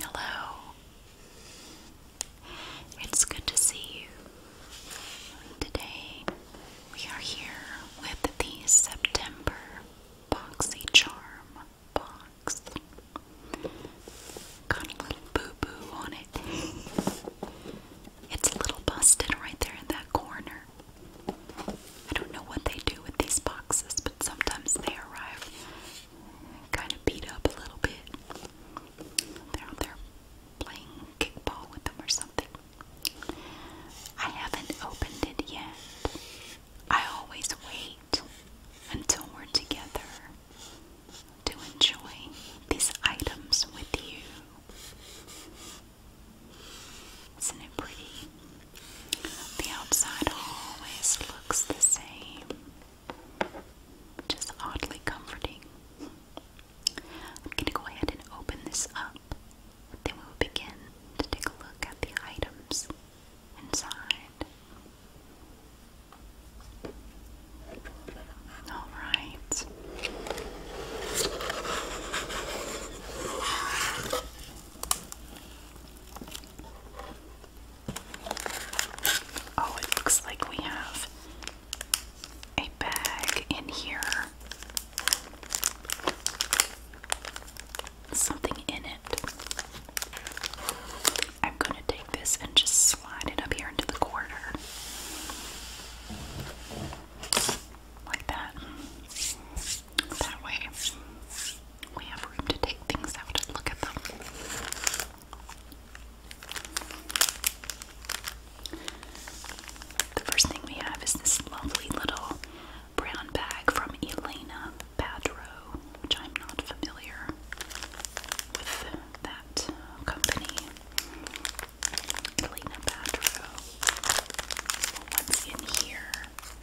Hello. It's good to see you. Today we are here with the September Boxy box. Got a little boo boo on it. It's a little busted right there in that corner. I don't know what they do with these boxes, but sometimes they arrive kind of beat up a little bit. They're playing kickball with them or something. I haven't opened it yet. I always wait until we're together to enjoy these items with you. Isn't it pretty? The outside always looks the same, which oddly comforting. I'm going to go ahead and open this up, then we'll begin to take a look at the items inside. All right. Oh, it looks like we have a bag in here. Something in it. I'm going to take this and just slide it up here into the corner. Like that. That way we have room to take things out and look at them. The first thing we have is this lovely little brown bag from Elena Badrow, which I'm not familiar with that company. Elena Badrow. What's in here?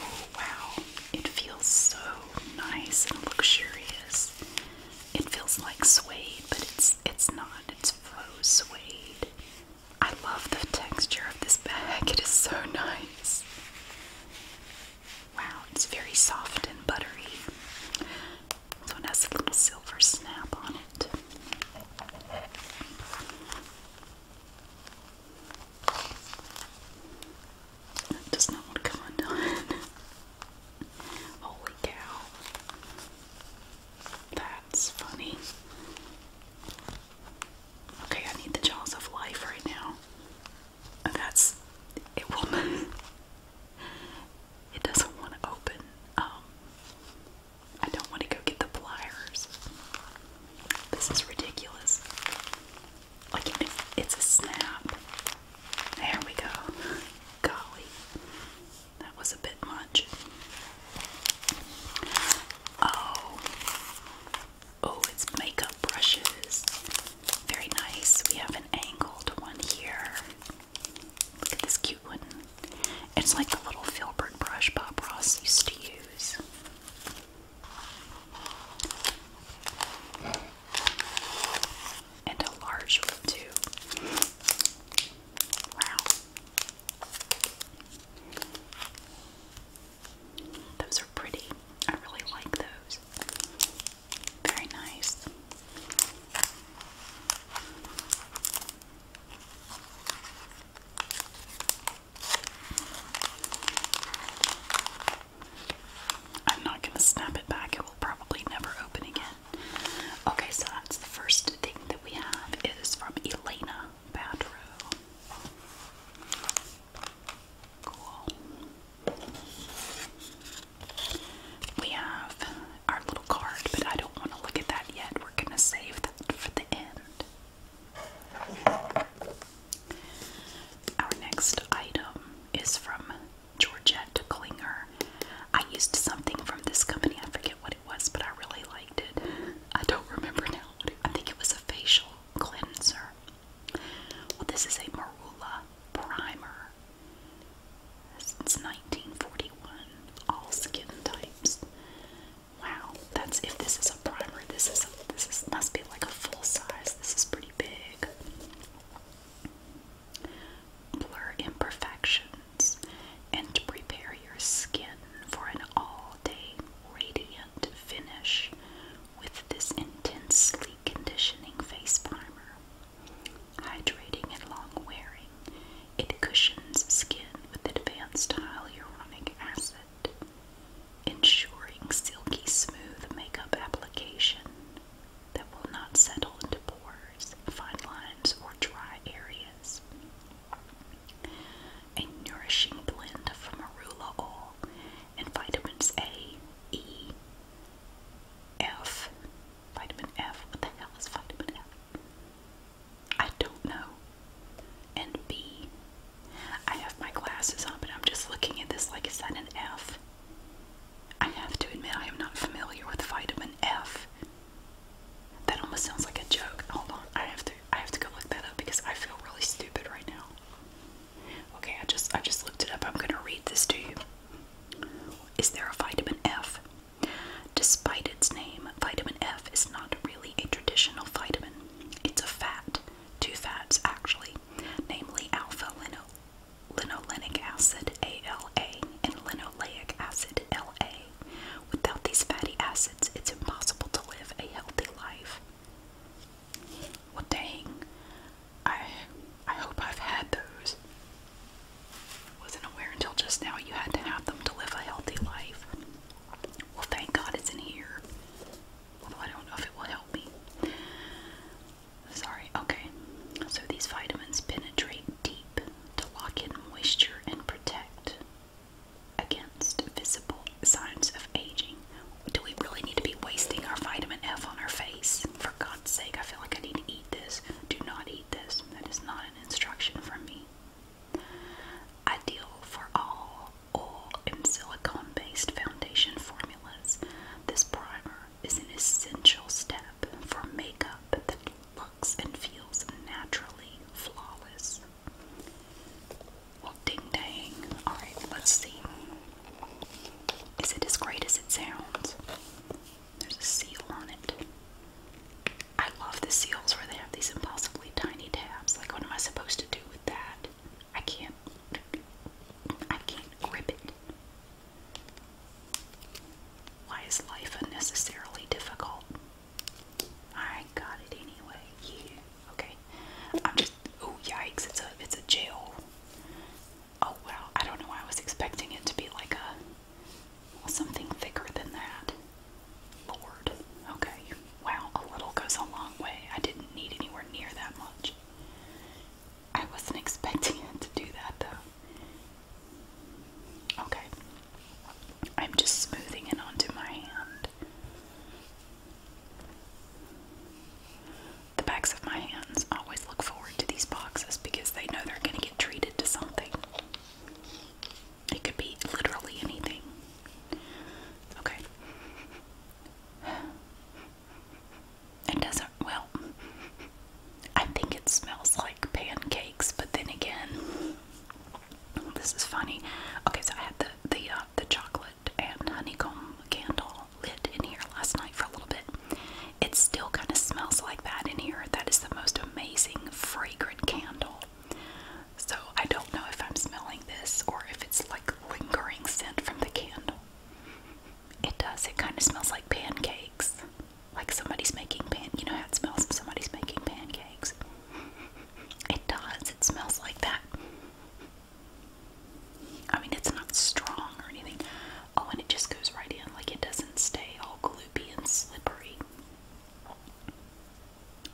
Oh wow, it feels so nice and luxurious. It feels like suede, but it's it's not. It's faux suede. I love the texture of this bag. It is so nice. Wow, it's very soft and buttery. This one has a little silver snap on it does not want to come undone. Holy cow. That's funny. Okay, I need the jaws of life right now. Oh, that's it will It doesn't want to open. Um, I don't want to go get the pliers. This is ridiculous. Like, it's a snap. There we go. Golly. That was a bit much. Oh. Oh, it's makeup brushes. Very nice. We have an angled one here. Look at this cute one. It's like the little Filbert brush Bob Ross used to use. And a large one, too. Wow. Those are pretty. I really like those. Very nice. I'm not going to snap it back, it will probably never open again. Okay, so that's the first thing that we have. It is from Elena Badrow. Cool. We have our little card, but I don't want to look at that yet. We're going to save that for the end. Our next item is from Georgette Klinger. I used something from this company, I forget what it was, but I really liked it. I don't remember now. I think it was a facial cleanser. Well, this is a Marula primer. Since 1941, all skin types. Wow, that's if this is a primer. This is a, this is must be like a full size. This is pretty big. Blur imperfections and prepare your skin for an all-day radiant finish with this intensely conditioning face primer. Hydrating and long wearing, it cushions skin with advanced hyaluronic acid ensuring silky smooth makeup application that will not settle into pores, fine lines, or dry areas. A nourishing blend from arugula oil and vitamins A, E, F. Vitamin F. What the hell is vitamin F? I don't know. And B, I have my glasses on, but I'm just looking at this like, is that an F? I have to admit, I am not familiar with vitamin F. That almost sounds like a joke. Hold on, I have to, I have to go look that up because I feel really stupid right now. Okay, I just, I just looked it up. I'm gonna read this to you. Is there a vitamin F? Despite its name, vitamin F is not really a traditional vitamin. It's a fat, two fats actually, namely alpha linolenic acid ALA and linoleic acid LA. Without these fatty acids, it's impossible to live a healthy life. Well, dang. I I hope I've had those. Wasn't aware until just now you had to have them to live a healthy life. Well, thank God it's in here. Although I don't know if it will help me. Sorry, okay. So these vitamins penetrate deep to lock in moisture and protect against visible signs of aging. Do we really need to be wasting our vitamin F on our face? For God's sake, I feel like I need to eat this. Do not eat this. That is not an instruction from me. Ideal for all or in silicone based foundation formulas, this primer is an essential step for makeup that looks and feels naturally flawless. Well, ding dang. Alright, let's see. Is it as great as it sounds? There's a seal on it. I love the seals where they have these impossibly tiny tabs. Like, what am I supposed to with that. I can't I can't grip it. Why is life unnecessarily difficult? I got it anyway. Yeah. Okay. I'm just oh yikes, it's a it's a jail. Oh wow, I don't know. I was expecting it to be like a something thicker than that. Lord. Okay. Wow, a little goes a long way. I didn't need anywhere near that much. I wasn't expecting it to do that though. Okay. I'm just smoothing it onto my hand. The backs of my hands always look forward to these boxes because they know they're going to get treated to something. It could be literally anything. Okay. It doesn't, well, I think it smells like pancakes, but then again, this is funny. Okay, so I had the the uh, the chocolate and honeycomb candle lit in here last night for a little bit. It still kind of smells like that in here. That is the most amazing fragrant candle. So I don't know if I'm smelling this or if it's like lingering scent from the candle. It does. It kind of smells like pancakes. Like somebody's making pan. You know how it smells when somebody's making pancakes. It does. It smells like that. I mean, it's not strong or anything. Oh, and it just goes right in. Like it doesn't stay all gloopy and slippery.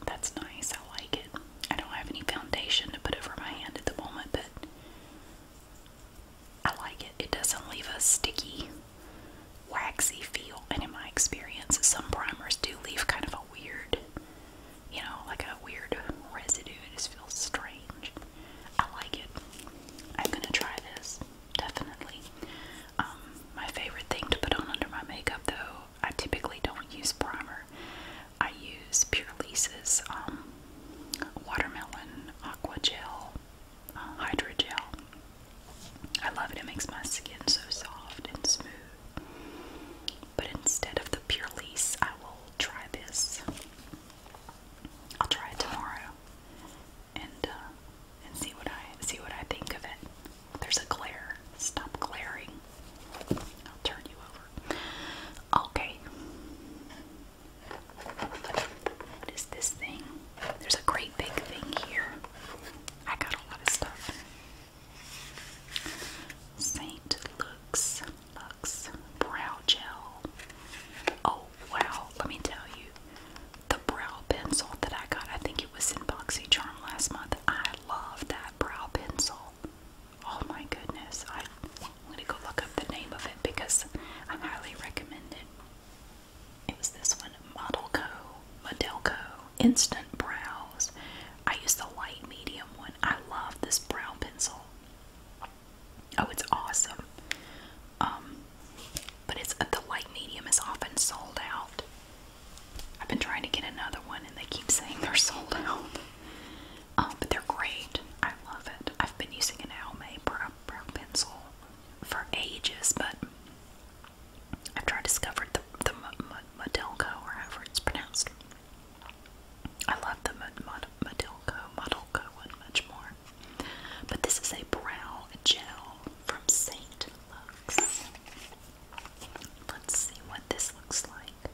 That's nice. I like it. I don't have any foundation to put over my hand at the moment, but I like it. It doesn't leave a sticky, waxy feel. And in my experience, some primers do leave kind of a weird, you know, like a weird residue. It just feels strange. I like it. I'm gonna try this, definitely. Um, my favorite thing to put on under my makeup, though, I typically don't use primer. I use Pure Lisa's um, Watermelon Aqua Gel, uh, Hydrogel. I love it, it makes my skin so soft and smooth. But instead of the Pure Lise, I will try this. I'll try it tomorrow and uh, and see what I see what I think of it. There's a glare. Stop glaring. I'll turn you over. Okay. What is this thing? There's a great big thing here. I got a lot of stuff. Saint Lux Lux Brow Gel. Oh wow, let me tell you. The brow pencil that I got, I think it was in BoxyCharm last month. I love that brow pencil. Oh my goodness. I, am going to go look up the name of it because I highly recommend it. It was this one Modelco, Modelco Instant Brows. I use the light medium one. I love this brow pencil. Oh, it's awesome. Um, but it's the light medium is often sold out. I've been trying to get another one and they keep saying they're sold out. Um, but they're great. I love it. I've been using an Almay brow, pencil for ages, but after i discovered the, the or however it's pronounced. I love the Modelco, Modelco one much more. But this is a brow gel from Saint Lux. Let's see what this looks like.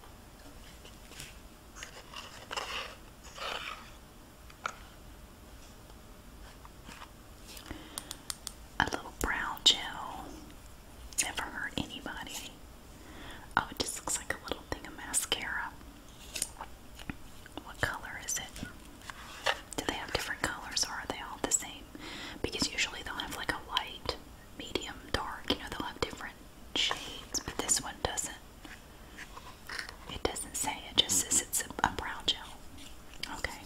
A little brow gel. Never hurt anybody. Oh, it just looks like a little thing of mascara. What color is it? Do they have different colors or are they all the same? Because usually they'll have like a white medium dark. You know, they'll have different shades, but this one doesn't. It doesn't say. It just says it's a, brown gel. Okay.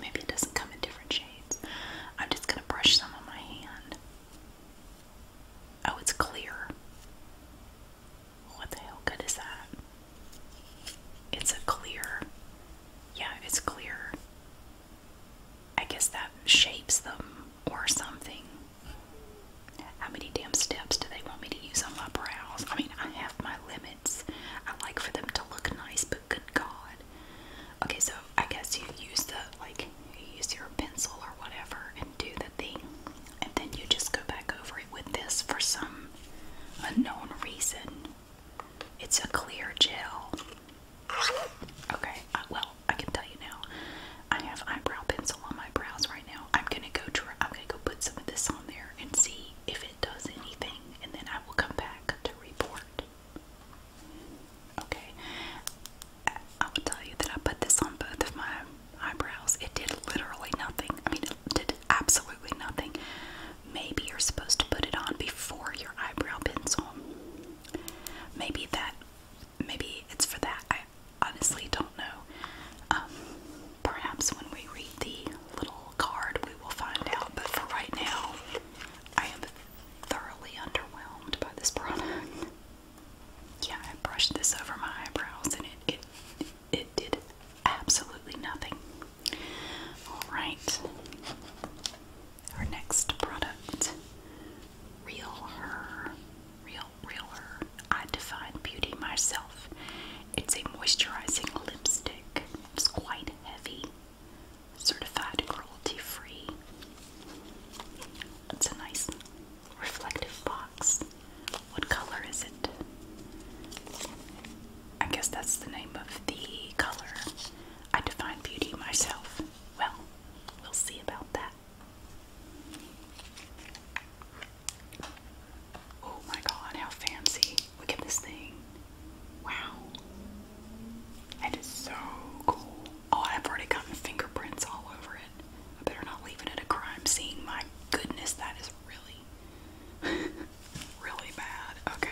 Maybe it doesn't come in different shades. I'm just gonna brush some on my hand. Oh, it's clear. What the hell good is that? It's a clear. Yeah, it's clear. I guess that shapes them or something. How many damn steps do they want me to use on my brows? I mean, I have my limits. I like for them to look nice, but good God. Okay, so I guess you use the, like, you use your pencil or whatever and do the thing. And then you just go back over it with this for some unknown reason. It's a clear gel. Okay, uh, well, I can tell you now. I have eyebrow pencil on my brows right now. I'm gonna go. Try, I'm gonna go put some of this on there and see if it does anything, and then I will come back to report. Okay, I will tell you that I put this on both of my eyebrows. It did literally nothing. I mean, it did absolutely nothing. Maybe you're supposed to put it on before your eyebrow pencil. Maybe that maybe it's for that. I honestly don't know. Um, perhaps when we read the little card, we will find out. But for right now, I am thoroughly underwhelmed by this product. Yeah, I brushed this over my eyebrows, and it it it did absolutely nothing. All right our next product, Real Her. Real, Real Her. I define beauty myself. It's a moisturizing lipstick. It's quite heavy, certified cruelty free. It's a nice reflective box. What color is it? I guess that's the name of the color. I define beauty myself. Well, we'll see about that. Oh my god, how fancy. Look at this thing. Wow. That is so cool. Oh, I've already gotten fingerprints all over it. I better not leave it at a crime scene. My goodness, that is really, really bad. Okay.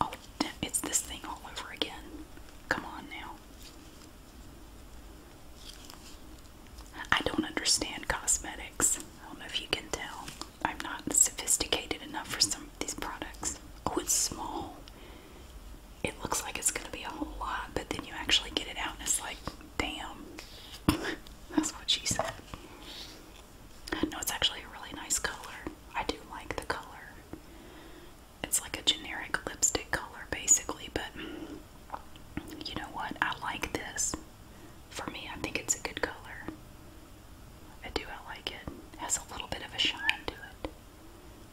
Oh, it's this thing all over again. Come on now. I don't understand cosmetics. I don't know if you can tell. I'm not sophisticated enough for some of these products. Oh, it's small. It looks like it's going to be a whole lot, but then you actually get it out and it's like, damn. That's what she said. No, it's actually a really nice color. I do like the color it's like a generic lipstick color basically, but you know what? I like this. For me, I think it's a good color. I do, I like it. It has a little bit of a shine to it.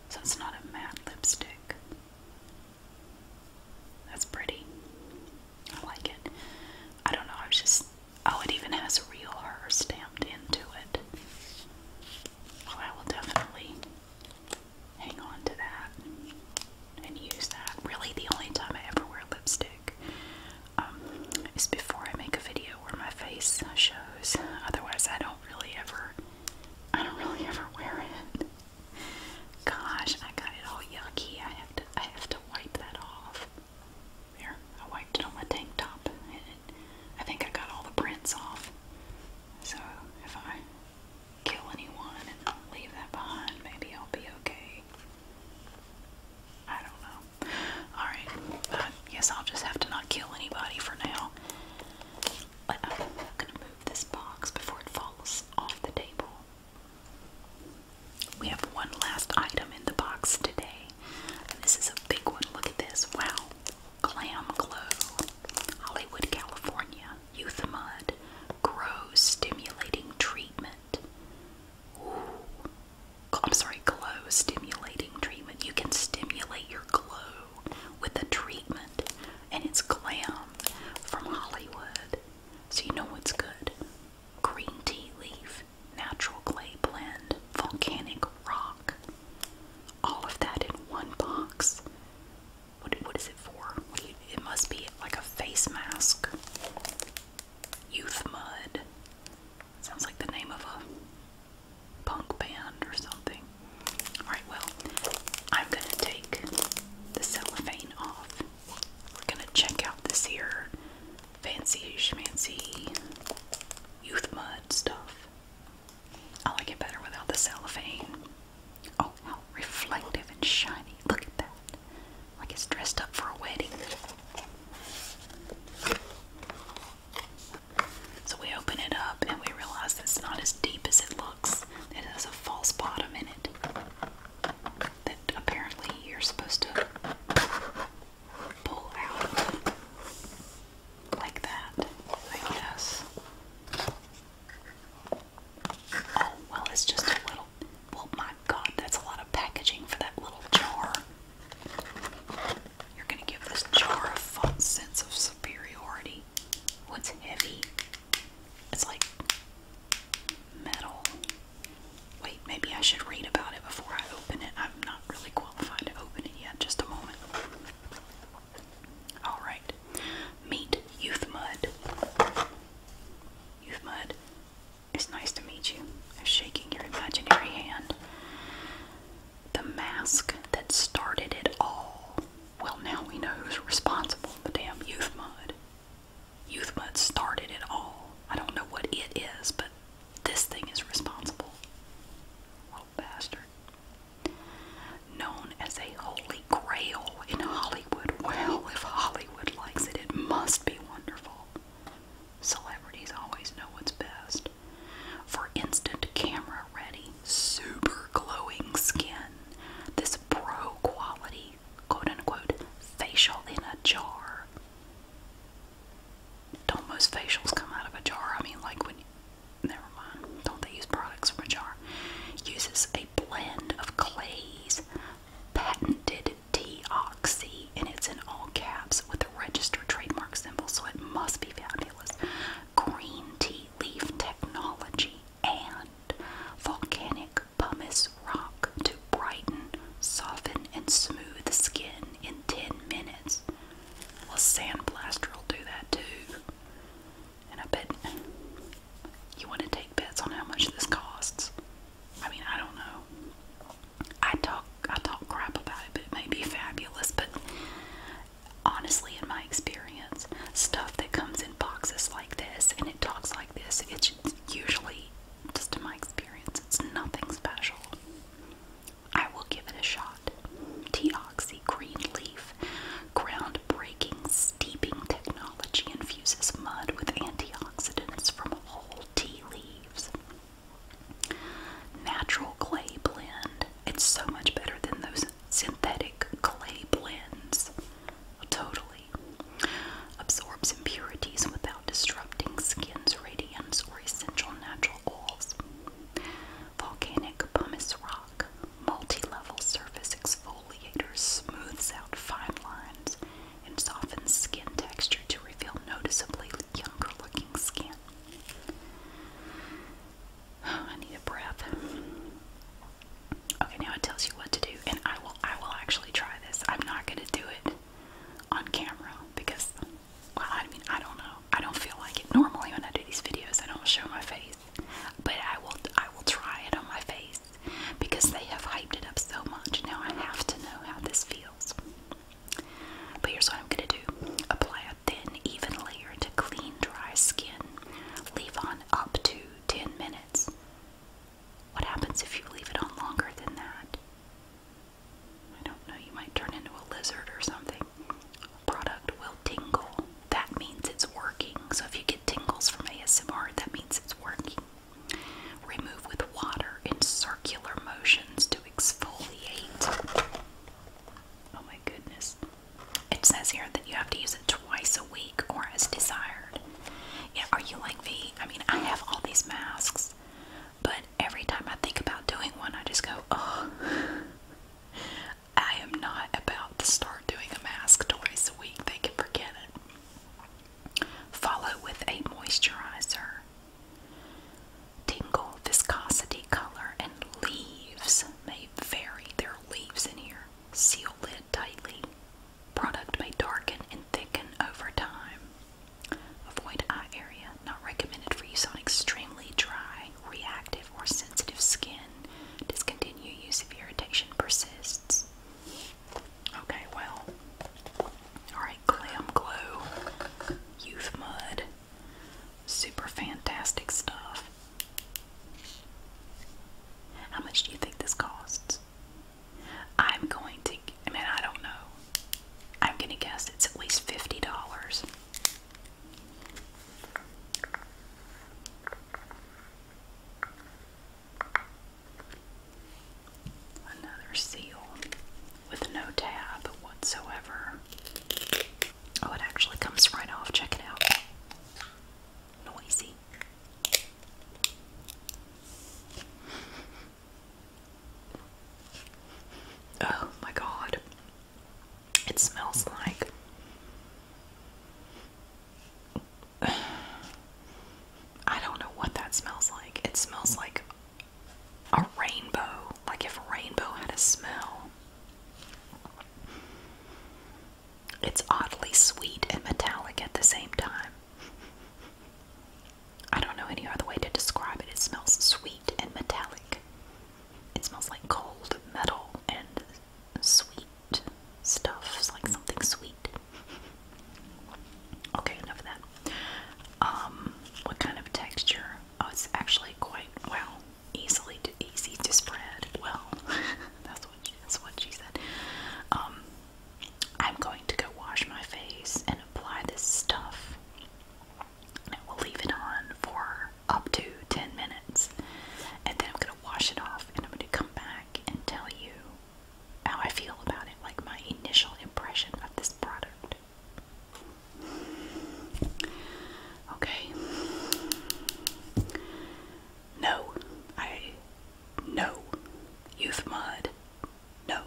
So it's not a matte lipstick. That's pretty. I like it. I don't know, I was just. Oh, it even has a real her stamped into it. Oh, I will definitely hang on to that and use that. Really, the only time I ever wear lipstick um, is before I make a video where my face shows. Otherwise, I don't really ever, I don't really ever wear it. Gosh, I got it all yucky. I have to, I have to wipe that off. There, I wiped it on my tank top, and I think I got all the prints off. So if I kill anyone and leave that behind, maybe I'll be okay. I don't know. Alright, I guess I'll just have to not kill anybody for now. I'm gonna move this box before it falls off the table. We have one last item in the box today this is a big one. Look at this. Wow. Glam Glow. Hollywood, California. Youth Mud. Grow Stimulating Treatment. Ooh. I'm sorry, glow stimulating treatment. You can stimulate your glow with a treatment, and it's glam from Hollywood. So you know what's good. Green tea leaf, natural clay blend, volcanic rock, all of that in one box. What what is it for? it must be like a face mask. Youth Mud. Sounds like the name of a punk band or something. Alright, well, I'm gonna take the cellophane off. We're gonna check out this here fancy youth mud stuff. I like it better without the cellophane. Oh, how reflective and shiny. Look at that. Like it's dressed up for a wedding. So we open it up and we realize it's not as deep as it looks. It has a false bottom in it. That apparently you're supposed to pull out like that, I guess. Oh, well, it's just a little. Well, oh my god, that's a lot of packaging for that little jar. You're gonna give this jar a false sense of superiority. What's heavy? It's like metal. Wait, maybe I should read about it before I open it. I'm not really qualified to open it yet. Just a moment. Alright. Meet Youth Mud. Youth Mud, it's nice to meet you. I'm shaking your imaginary hand. The mask that started it all. Well, now we know who's responsible the damn Youth Mud. Youth Mud started it all. I don't know what it is, but this thing is responsible bastard. Known as a holy grail in Hollywood. Well, if Hollywood likes it, it must be wonderful. Celebrities always know what's best. For instant camera ready, super glowing skin, this pro quality, quote unquote, facial in a jar. Don't most facials come out of a jar? I mean, like when never mind, don't they use products from a jar? Uses a blend of Clay's patented T-Oxy, and it's in all caps with the registered trademark symbol, so it must be fabulous. Green tea leaf technology and volcanic pumice rock to brighten, soften, and smooth the skin in 10 minutes. Well, Sandblaster will do that too. And I bet you want to take bets on how much this costs. I mean, I don't know. I talk, I talk crap about it, but it may be fabulous. But honestly, in my experience, stuff that comes in boxes like this and it talks like this, it's usually, just in my experience, it's nothing special. I will give it a shot. Tea oxy green leaf, groundbreaking steeping technology infuses mud with antioxidants from whole tea leaves. Natural clay blend. It's so much better than those synthetic clay blends. Totally. Absorbs impurities without disrupting skin's radiance or essential natural oils. Volcanic pumice rock, multi-level surface exfoliator smooths out fine lines and softens skin texture to reveal noticeably younger-looking skin. I need a breath. Okay, now it tells you what to do, and I will. I will actually try this. I'm not going to do it on camera because, well, I mean, I don't know. I don't feel like it. Normally when I do these videos, I don't show my face, but I will. I will try it on my face because they have hyped it up so much. Now I have to know how this feels. But here's what I'm gonna do: apply a thin, even layer to clean, dry skin. Leave on up to 10 minutes. What happens if you leave it on longer than that? I don't know, you might turn into a lizard or something product will tingle. That means it's working. So if you get tingles from ASMR, that means it's working. Remove with water in circular motions to exfoliate. Oh my goodness. It says here that you have to use it twice a week or as desired. Yeah, are you like me? I mean, I have all these masks, but every time I think about doing one, I just go, oh. I am not about to start doing a mask twice a week. They can forget it. Follow with a moisturizer. Tingle viscosity color and leaves may vary. There are leaves in here. Seal lid tightly. Product may darken and thicken over time. Avoid eye area. Not recommended for use on extremely dry, reactive for sensitive skin, discontinue use if irritation persists. Okay, well, alright, Glam Glow, Youth Mud, super fantastic stuff. How much do you think this costs? I'm going to, I mean, I don't know. I'm going to guess it's at least $50. Another seal with no tab whatsoever. Oh, it actually comes right off. Check it out. Noisy. Oh my god. It smells like I don't know what that smells like. It smells like a rainbow, like if rainbow had a smell. It's oddly sweet and metallic at the same time. I don't know any other way to describe it. It smells sweet and metallic it smells like cold metal and sweet stuff. It's like something sweet. Okay, enough of that. Um, what kind of texture? Oh, it's actually quite well, easily easy to spread. Well, that's what that's what she said. Um, I'm going to go wash my face and apply this stuff. I will leave it on for up to 10 minutes. And then I'm going to wash it off and I'm going to come back and tell you how I feel about it, like my initial impression of this product. Okay. No. I. No. Youth Mud. No.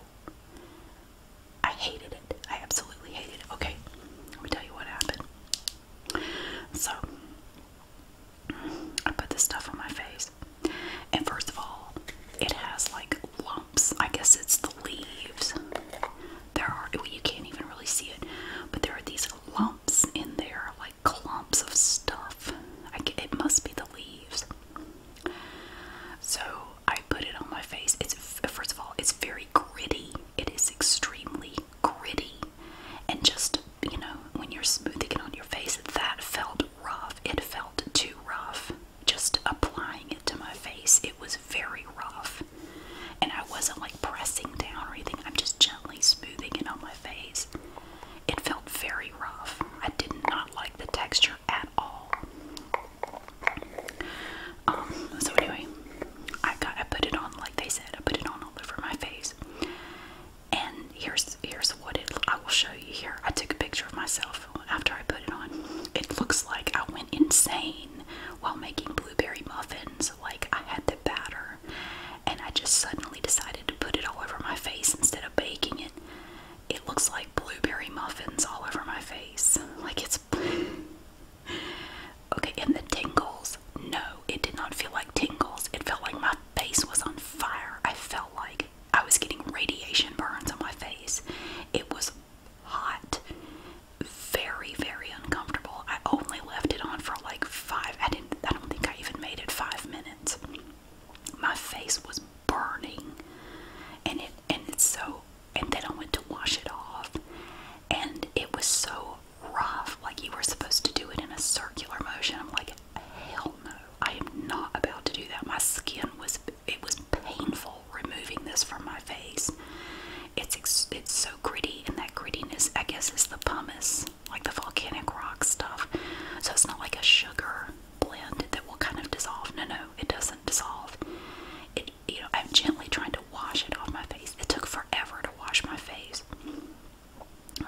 I hated it. I absolutely hated it. Okay. Let me tell you what happened. So I put this stuff on my face. And first of all, it has like lumps. I guess it's the leaves. There are, you can't even really see it, but there are these lumps in there, like clumps of stuff. it must be the leaves. So I put it on my face. It's first of all, it's very gritty. It is extremely gritty, and just you know, when you're smoothing it on your face, that felt rough. It felt too rough. Just applying it to my face, it was very rough, and I wasn't like pressing down or anything. I'm just gently smoothing it on my face. It felt very rough. I did not like the texture at all. Um, so anyway, I got I put it on like they said I put it on all over my face and here's here's what it I will show you here I took a picture of myself after I put it on it looks like I went insane while making blueberry muffins like I had the batter and I just suddenly decided to put it all over my face instead of baking it it looks like blueberry muffins all over my face like it's Okay, and the tingles. No, it did not feel like tingles. It felt like my face was on fire. I felt like I was getting radiation burns on my face. It was hot, very, very uncomfortable. I only left it on for like five. I didn't. I don't think I even made it five minutes. My face was burning, and it and it's so. And then I went to wash it off, and it was so rough. Like you were supposed to do it in a circular motion. I'm like, hell no, I am not about to do that. My skin was it was painful removing this from my face. It's it's so gritty, and that grittiness, I guess, is the pumice, like the volcanic rock stuff. So it's not like a sugar blend that will kind of dissolve. No, no, it doesn't dissolve. It, you know, I'm gently trying to wash it off my face. It took forever to wash my face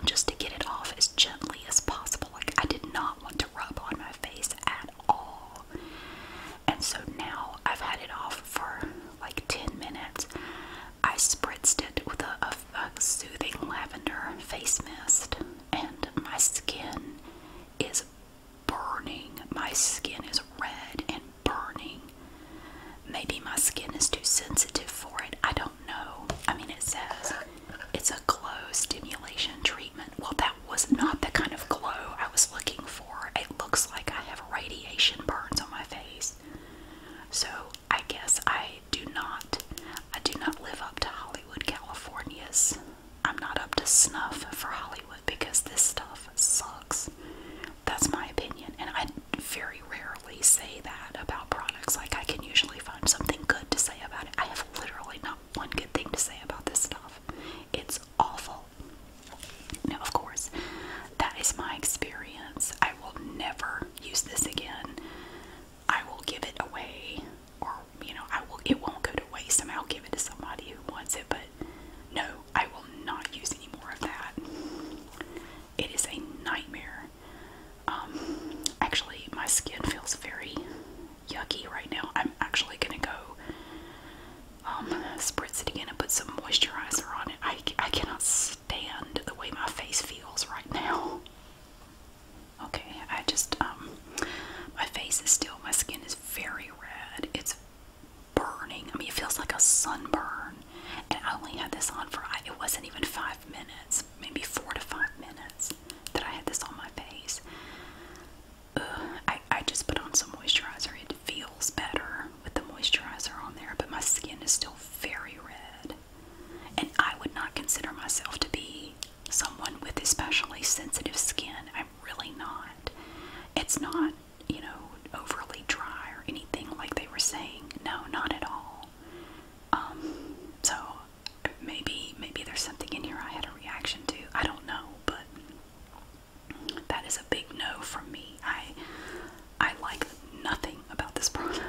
just to get it off as gently as possible. Like, I did not want to rub on my face at all. And so now I've had it off for like 10 minutes. I spritzed it with a, a soothing lavender face mist, and my skin is burning. My skin is red and burning. Maybe my skin is too sensitive for it. I don't know. I mean, it says it's a glow stimulation treatment. Well, that was not the kind of glow I was looking for. It looks like I have radiation burns on my face. So, I guess I do not I do not live up to Hollywood, California's. I'm not up to snuff for Hollywood because this stuff sucks. That's my opinion, and I very rarely say that about products. Like, I can usually find something good to say about it. I have literally not one good thing to say about this stuff. It's awful. Now, of course, that is my experience. I will never use this again. I will give it away, or you know, I will. It won't go to waste. I'll give it to somebody who wants it. But no, I will not use any more of that. It is a nightmare. Um, actually, my skin feels very yucky right now. I'm actually gonna go um, spritz it again and put some moisturizer on it. I, I cannot stand the way my face feels right now. Okay, I just, um, my face is still, my skin is very red. It's burning. I mean, it feels like a sunburn. And I only had this on for, it wasn't even five minutes, maybe four to five minutes that I had this on my face. I, I just put on some moisturizer. It feels better with the moisturizer on there, but my skin is still very red. And I would not consider myself to be someone with especially sensitive skin. I'm really not. It's not you know, overly dry or anything like they were saying. No, not at all. Um, so maybe maybe there's something in here I had a reaction to. I don't know, but that is a big no from me. I I like nothing about this product.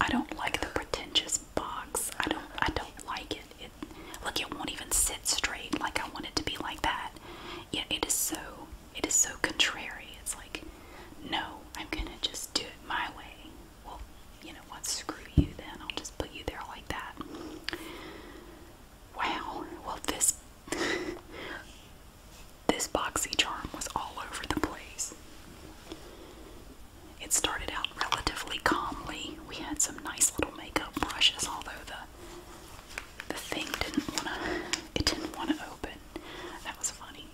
I don't like the pretentious box. I don't I don't like it. It look it won't even sit straight like I want it to be like that. Yeah, it is so it is so contrary. It's like, no, I'm gonna just do it my way. Well, you know what? Screw you then. I'll just put you there like that. Wow. Well, this this boxy charm was all over the place. It started out relatively calmly. We had some nice little makeup brushes, although the the thing didn't wanna it didn't wanna open. That was funny.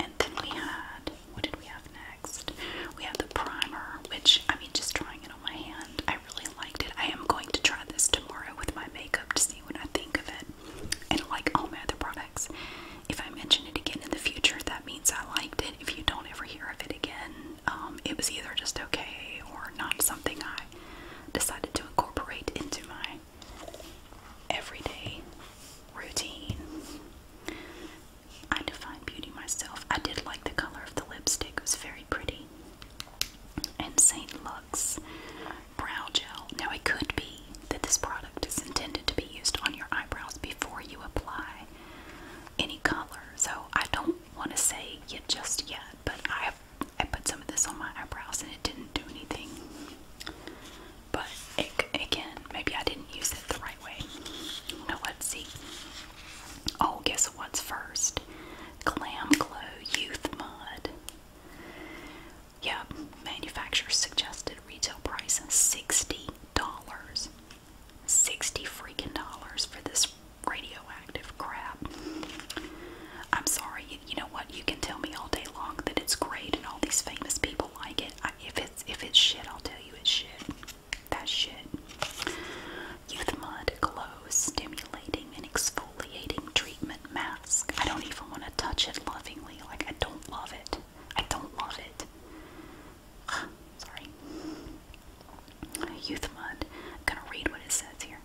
And then we had what did we have next? We had the primer, which I mean just trying it on my hand. I really liked it. I am going to try this tomorrow with my makeup to see what I think of it. And like all my other products. If I mention it again in the future, that means I liked it. If you don't ever hear of it again, um, it was either just okay or not something I decided to incorporate into my everyday routine. I define beauty myself. I did like the color of the lipstick, it was very pretty. And St. Lux Brow Gel. Now, it could be that this product is intended to be used on your eyebrows before you apply any color, so I don't want to say yet just yet, but I I put some of this on my eyebrows and it didn't do anything. But again, maybe I didn't use it the right way. Now let's see. Oh, guess what's first? Clam Glow Youth Mud. Yeah, manufacturer suggested retail price is $60. 60 freaking dollars for this radioactive crap. I'm sorry, you know what? You can tell me all day long that it's great and all these famous people like it. if it's if it's shit, I'll tell you it's shit. That's shit. Youth Mud Glow Stimulating and Exfoliating Treatment Mask. I don't even want to touch it lovingly. Like I don't love it. I don't love it. Sorry. Youth Mud. gonna read what it says here.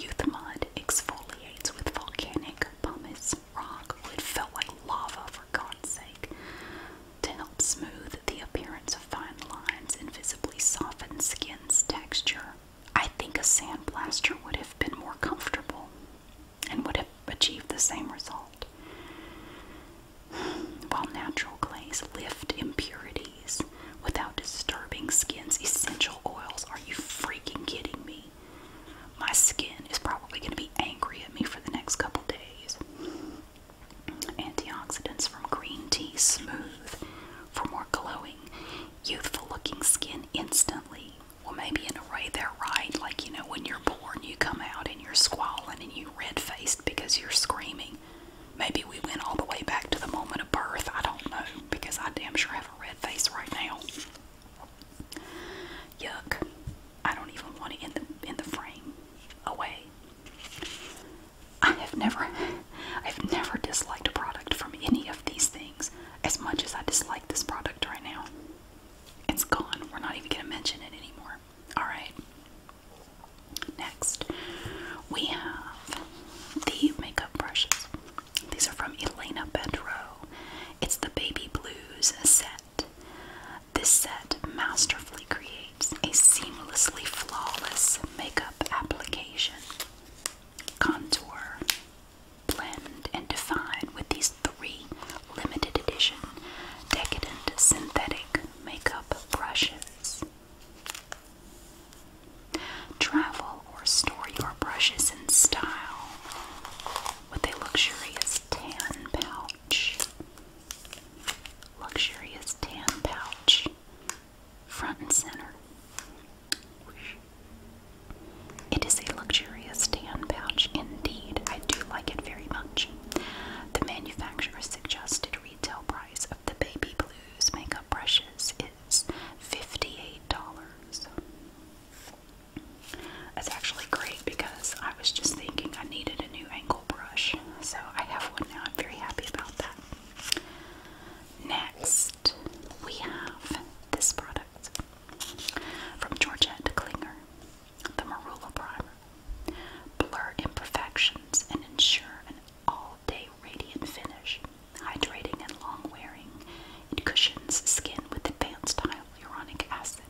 Youth mud exfoliates with volcanic pumice rock. It felt like lava, for God's sake, to help smooth the appearance of fine lines and visibly soften skin's texture. I think a sandblaster would have been more comfortable and would have achieved the same result. While natural clays lift impurities without disturbing skin's essential oils, are you free? freaking kidding me? My skin is probably going to be angry at me for the next couple days. Antioxidants from green tea smooth for more glowing, youthful looking skin instantly. Well, maybe in a way they're right. Like, you know, when you're born, you come out and you're squalling and you are red faced because you're screaming. Maybe we went all the way back to the moment of birth. I don't know because I damn sure have red face right now. Yuck. I don't even want it in the in the frame. Away. I have never I've never disliked a product from any of these things as much as I dislike this product right now. It's gone. We're not even gonna mention it anymore. Alright. Next, we have the makeup brushes. These are from Elena Bedro. It's the Baby Blues set. This set masterfully creates a seamlessly flawless makeup application. Contour, blend, and define with these three limited edition decadent synthetic makeup brushes. Travel or store your brushes in style with a luxurious tan pouch. Luxurious tan pouch. Front and center. It is a luxurious tan pouch indeed. I do like it very much. The manufacturer's suggested retail price of the Baby Blues makeup brushes is $58. It's actually great because I was just thinking I needed a new angle brush, so I have one now. I'm very happy about that. Next, we have this product from Georgette Klinger the Marula Primer. Blur imperfections and ensure an all day radiant finish hydrating and long wearing. It cushions skin with advanced hyaluronic acid,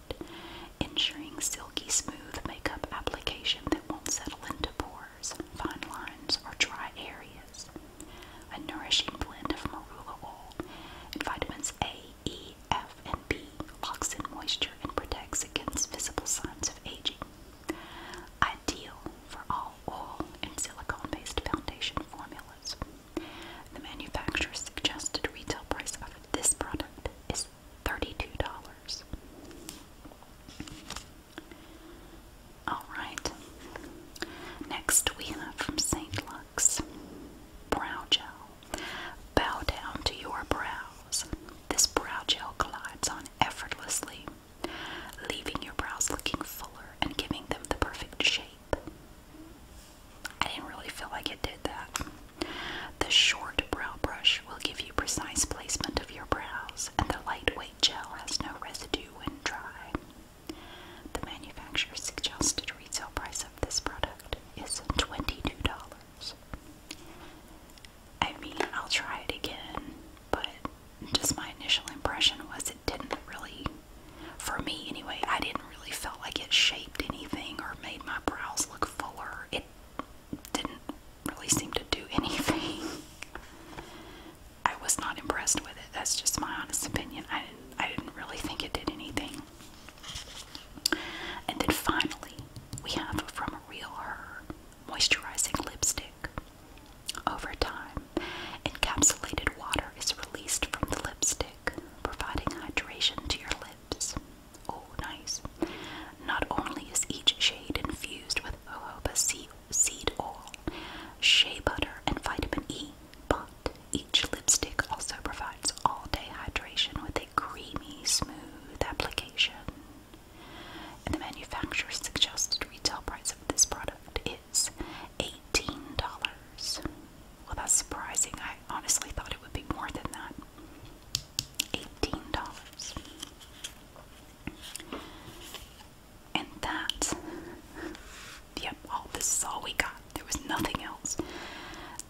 ensuring silky smooth makeup application that won't settle into pores, fine lines, or dry areas. A nourishing blend of marula oil and vitamins A, E, F, and B locks in moisture and protects against visible signs of aging. Ideal for all oil and silicone based foundation formulas. The manufacturer's suggested retail price of this product is $32. Alright, next we have from St. Lux Brow Gel. Bow down to your brows. This brow gel glides on effortlessly, leaving your brows looking fuller and giving them the perfect shape. I didn't really feel like it did that. The short brow brush will give you precise placement of your brows, and the lightweight gel has no residue when dry. The manufacturer suggested retail price of this product is $22. I mean, I'll try it again, but just my initial impression was it didn't really for me, anyway, I didn't really feel like it shaped anything or made my brows look fuller. It didn't really seem to do anything. I was not impressed with it. That's just my honest opinion. I didn't, really think it did anything. And then finally, we have from Real Her moisturizing lipstick. Over time, Encapsulated water is released from the lipstick, providing hydration to your lips. Oh, nice. Not only is each shade infused with jojoba seed oil, shea butter, and vitamin E, but each lipstick also provides all day hydration with a creamy, smooth application. And the manufacturer's suggested retail price of this product is. $18. Well, that's surprising. I honestly thought it would be more than that. $18. And that, yep, all this is all we got. There was nothing else.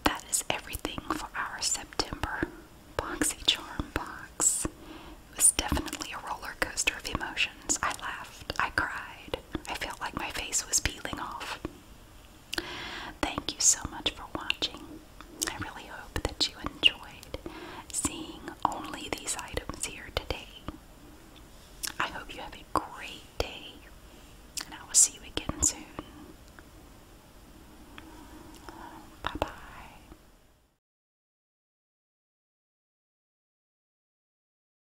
That is everything for our September BoxyCharm box. It was definitely a roller coaster of emotion. I laughed. I cried. I felt like my face was peeling off. Thank you so much for watching. I really hope that you enjoyed seeing only these items here today. I hope you have a great day, and I will see you again soon. Bye bye.